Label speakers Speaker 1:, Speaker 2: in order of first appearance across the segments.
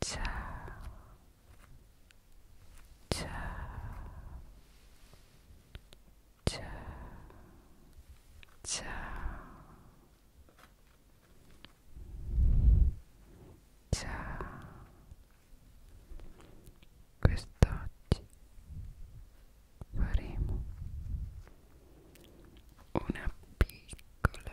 Speaker 1: Ciao. Ciao. Ciao. Ciao. Ciao. Quest'oggi faremo una piccola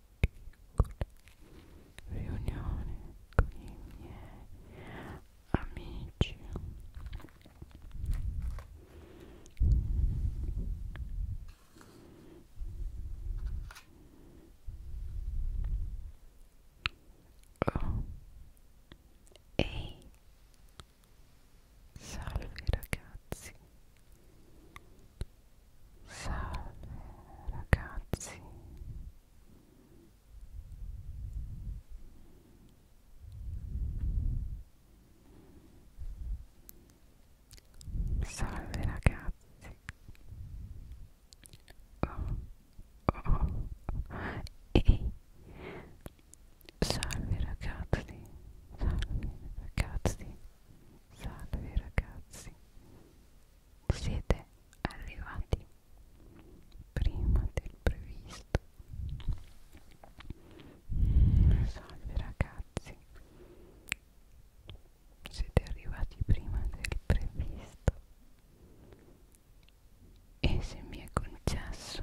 Speaker 1: riunione con i miei amici oh. ehi salve ragazzi Salve ragazzi. Salve ragazzi. Oh, oh, oh. Salve ragazzi. Salve ragazzi. Salve ragazzi, siete arrivati prima del previsto. Salve ragazzi, siete arrivati prima del previsto. E se mi è concesso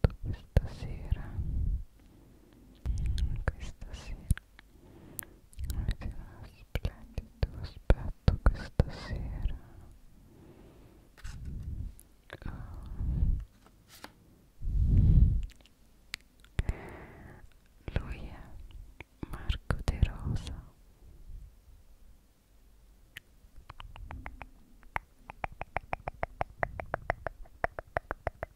Speaker 1: fatto questa sera questa sera avete uno splendido aspetto questa sera oh. lui è Marco De Rosa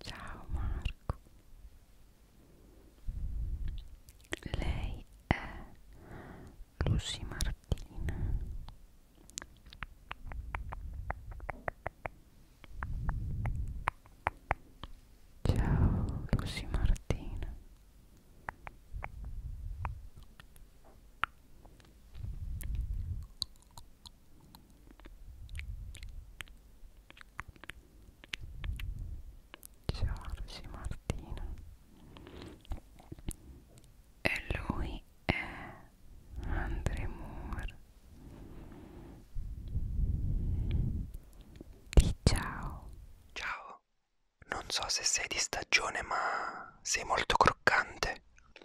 Speaker 1: Ciao Marco. Lei è Lucy Martina. Ciao Lucy Martina. Giorgi Martino e lui è Andre Moore Di ciao Ciao non so se sei di stagione ma sei molto croccante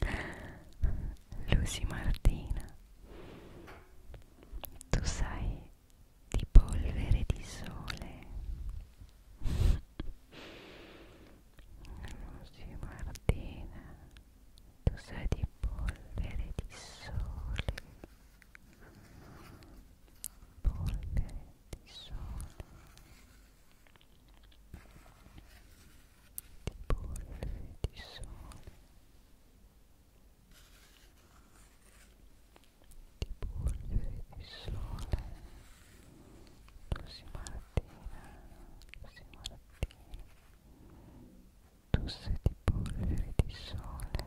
Speaker 1: Lucy Martina tu sai di polvere di sole Lucy Martina tu sai di polvere di sole polvere di sole di bolle di sole di polvere di sole Lucy Martina Lucy Martina tosse di polvere di sole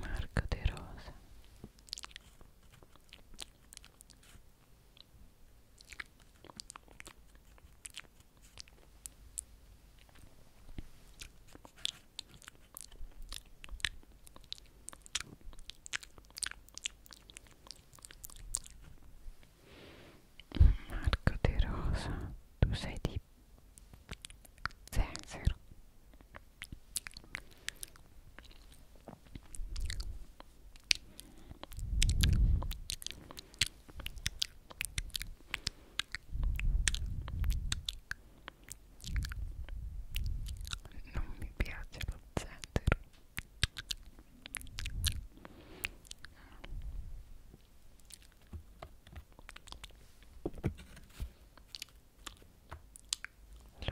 Speaker 1: Marco De Rosa Marco De Rosa tu sei di zenzero non mi piace lo zenzero.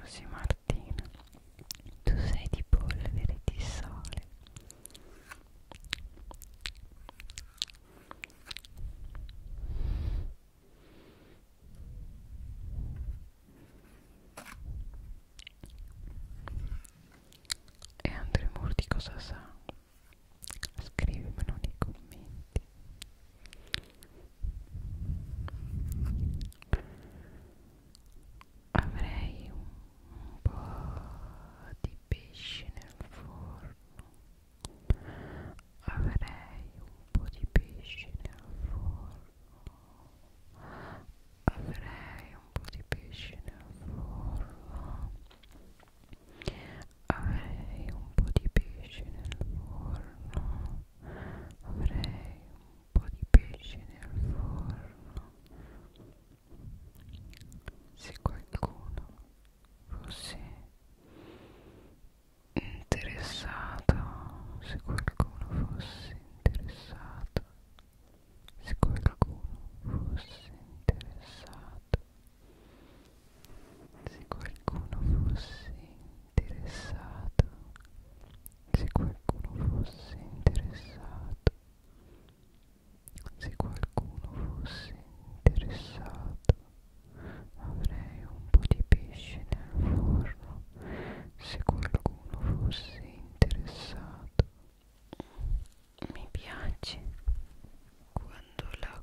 Speaker 1: Lucy Martina tu sei di polvere di sole e Andremur di cosa sa? scrivimelo nei commenti Avrei un po' di pesce nel forno. Avrei un po' di pesce nel forno. Avrei un po' di pesce nel forno. avrei un po' di pesce nel forno avrei un po' di pesce nel forno se qualcuno fosse interessato se qualcuno fosse interessato se qualcuno fosse interessato se qualcuno fosse interessato se qualcuno fosse interessato se qualcuno fosse interessato avrei un po' di pesce nel forno se qualcuno fosse interessato mi piace quando la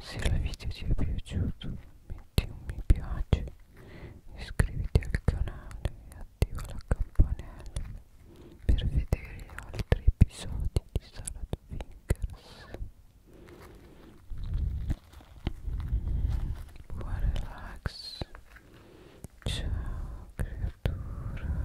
Speaker 1: Se il video ti è piaciuto metti un mi piace, iscriviti al canale e attiva la campanella per vedere gli altri episodi di Salad Fingers. Buon relax, ciao creatura.